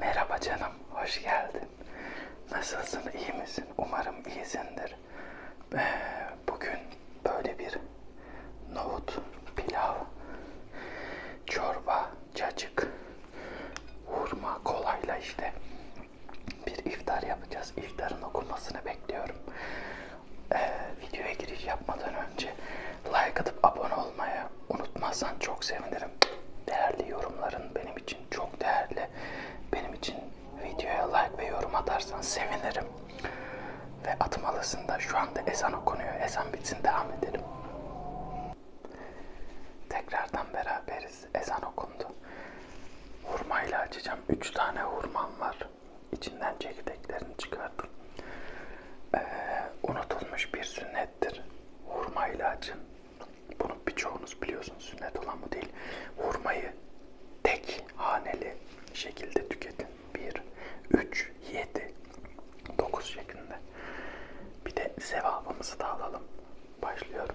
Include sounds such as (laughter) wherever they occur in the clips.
Merhaba canım, hoş geldin. Nasılsın, iyi misin? Umarım iyisindir. Ee, bugün böyle bir nohut, pilav, çorba, cacık, hurma, kolayla işte bir iftar yapacağız. İftarın okunmasını bekliyorum. Ee, videoya giriş yapmadan önce Like atıp abone olmayı unutmazsan çok sevinirim. Değerli yorumların benim için çok değerli. Benim için videoya like ve yorum atarsan sevinirim. Ve atmalısın da şu anda ezan okunuyor. Ezan bitsin devam edelim. Tekrardan beraberiz. Ezan okundu. Hurmayla açacağım. 3 tane hurmam var. İçinden çekirdeklerini çıkardım. Ee, unutulmuş bir sünnet sünnettir. Hurma ilacın. Bunu birçoğunuz biliyorsunuz sünnet olan bu değil. Hurmayı tek haneli şekilde tüketin. 1, 3, 7, 9 şeklinde. Bir de sevabımızı da alalım. Başlıyorum.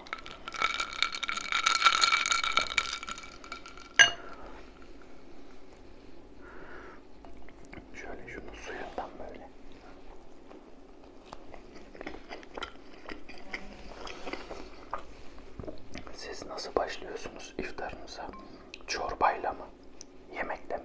Şöyle şunu suyundan böyle. Siz nasıl başlıyorsunuz iftarınıza? Çorbayla mı? Yemekle mi?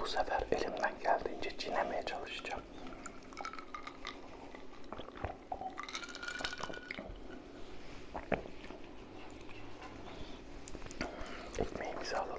Bu sefer elimden geldiğince çiğnemeye çalışacağım. Ekmeğimizi alalım.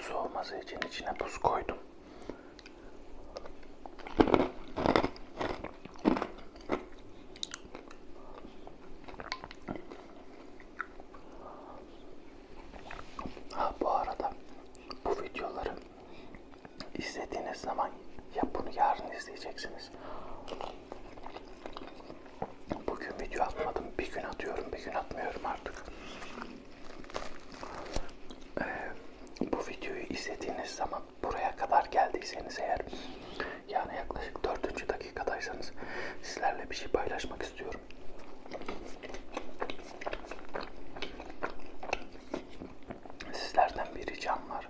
Soğuması için içine buz koydum. Ha bu arada bu videoları İzlediğiniz zaman ya bunu yarın izleyeceksiniz. Bugün video atmadım. Bir gün atıyorum, bir gün atmıyorum artık. Ee, bu videoyu izlediğiniz zaman buraya kadar geldiyseniz eğer yani yaklaşık 4. dakikadaysanız sizlerle bir şey paylaşmak istiyorum sizlerden bir ricam var.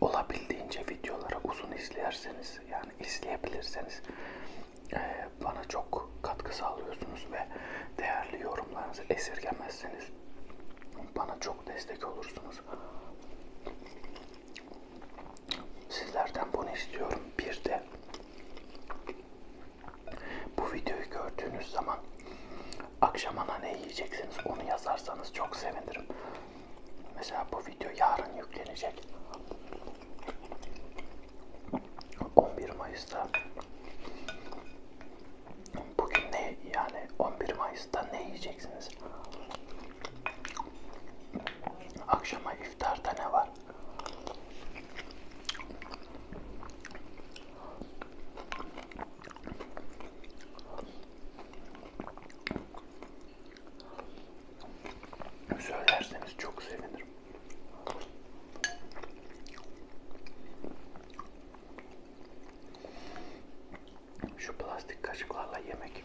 Olabildiğince videolara uzun izlerseniz yani izleyebilirseniz e, bana çok katkı sağlıyorsunuz ve değerli yorumlarınızı esirgemezseniz bana çok destek olursunuz. Sizlerden bunu istiyorum. Bir de bu videoyu gördüğünüz zaman akşamana ne yiyeceksiniz onu yazarsanız çok sevinirim. Mesela bu video yarın yüklenecek. 11 Mayıs'ta bugün ne yani 11 Mayıs'ta ne yiyeceksiniz? Akşama iftarda ne var? Söylerseniz çok sevinirim. Şu plastik kaşıklarla yemek.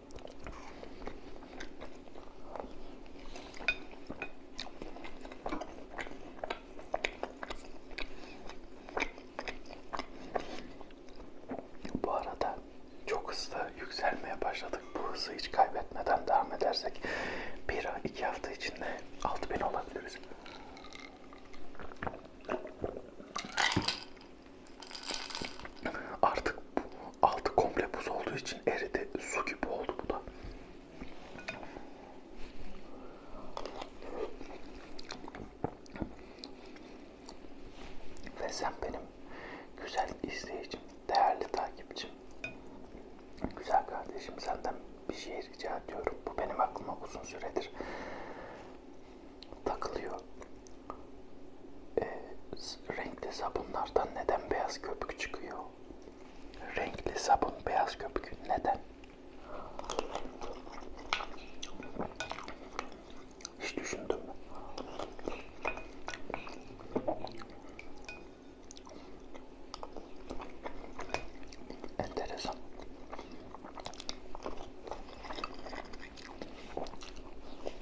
Bu arada çok hızlı yükselmeye başladık. Bu hızı hiç kaybetmeden devam edersek bir iki hafta içinde 6000 olabiliriz. Artık bu altı komple buz olduğu için eridi. Su gibi oldu bu da. Ve sen benim güzel izleyicim, değerli takipçim, güzel kardeşim senden bir şey rica ediyorum. Bu benim aklıma uzun süredir takılıyor e, renkli sabunlardan neden beyaz köpük çıkıyor? Renkli sabun beyaz köpük neden? Hiç düşündüm. Enteresan.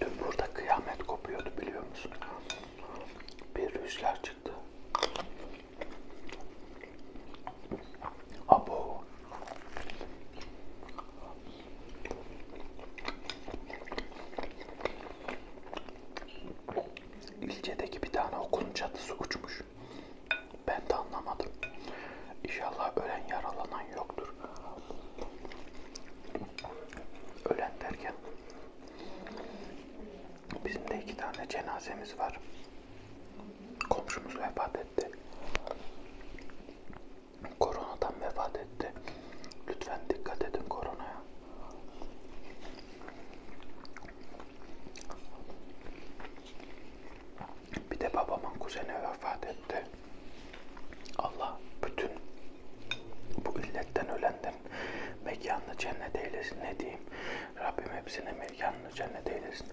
Dün burada kıyamet kopuyordu biliyor musun? Bir rüzgar çıktı. Abo. İlçedeki bir tane okulun çatısı uçmuş. Ben de anlamadım. İnşallah ölen yaralanan yoktur. Ölen derken bizim de iki tane cenazemiz var. Komşumuz vefat etti koronadan vefat etti. Lütfen dikkat edin koronaya. Bir de babamın kuzeni vefat etti. Allah bütün bu illetten ölenlerin mekanını cennet eylesin. Ne diyeyim? Rabbim hepsine mekanını cennet eylesin.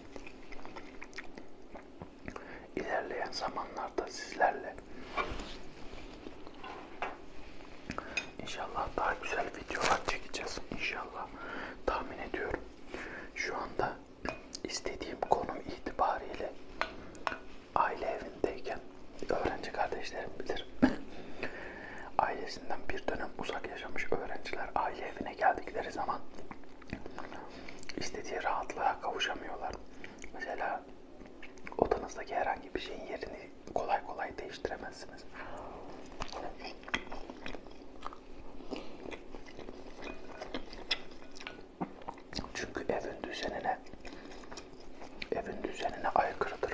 İlerleyen zamanlarda sizlerle inşallah daha güzel videolar çekeceğiz inşallah tahmin ediyorum. Şu anda istediğim konum itibariyle aile evindeyken öğrenci kardeşlerim bilir. (laughs) Ailesinden bir dönem uzak yaşamış öğrenciler aile evine geldikleri zaman istediği rahatlığa kavuşamıyorlar. Mesela odanızdaki herhangi bir şeyin yerini kolay kolay değiştiremezsiniz. Çünkü evin düzenine evin düzenine aykırıdır.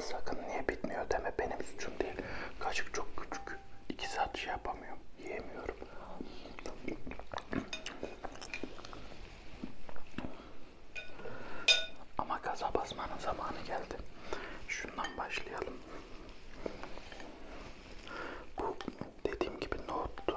Sakın niye bitmiyor deme benim suçum değil. Kaşık çok küçük. 2 saat şey yapamıyorum. Yiyemiyorum. Ama gaza basmanın zamanı geldi. Şundan başlayalım. Bu dediğim gibi nohuttu.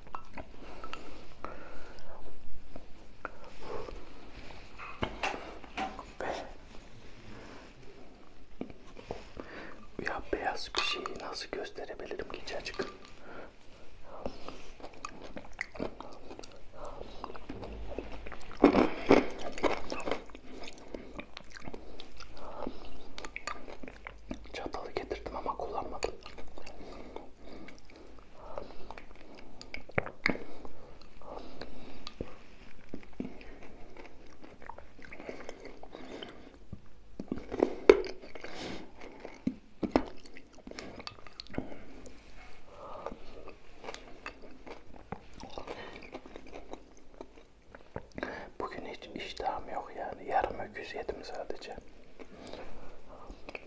Ve ya beyaz bir şeyi nasıl gösterebilirim ki açık? Çatalı getirdim ama kullanmadım. Bugün hiç iştahım yok yani yarım öküz yedim sadece.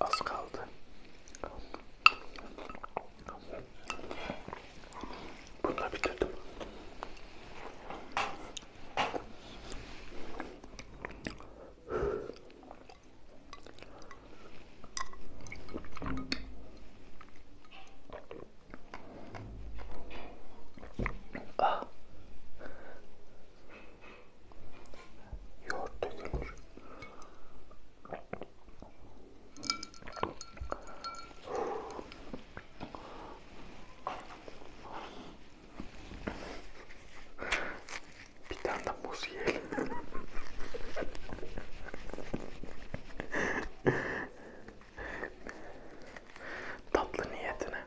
Az kaldı. Bunu da bitirdim. Ah yoğurt dökülmüş. Bir tane de muz yiyelim. Tatlı niyetine.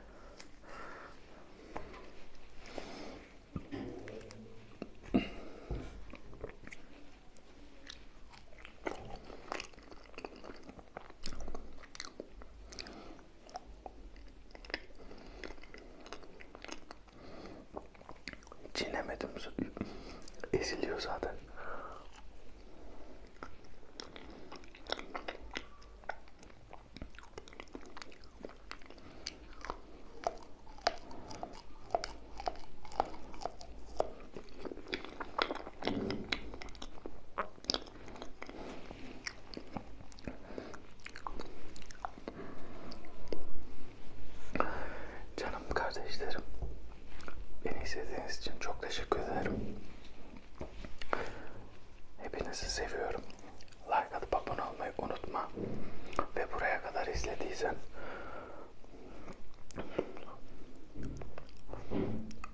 Çiğnemedim. Eziliyor zaten. Canım kardeşlerim, beni izlediğiniz için çok teşekkür ederim. Hepinizi seviyorum like atıp abone olmayı unutma. Ve buraya kadar izlediysen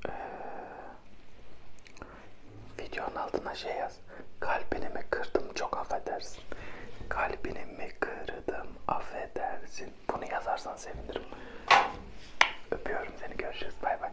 ee, videonun altına şey yaz. Kalbini kırdım çok affedersin. Kalbini mi kırdım affedersin. Bunu yazarsan sevinirim. Öpüyorum seni görüşürüz bay bay.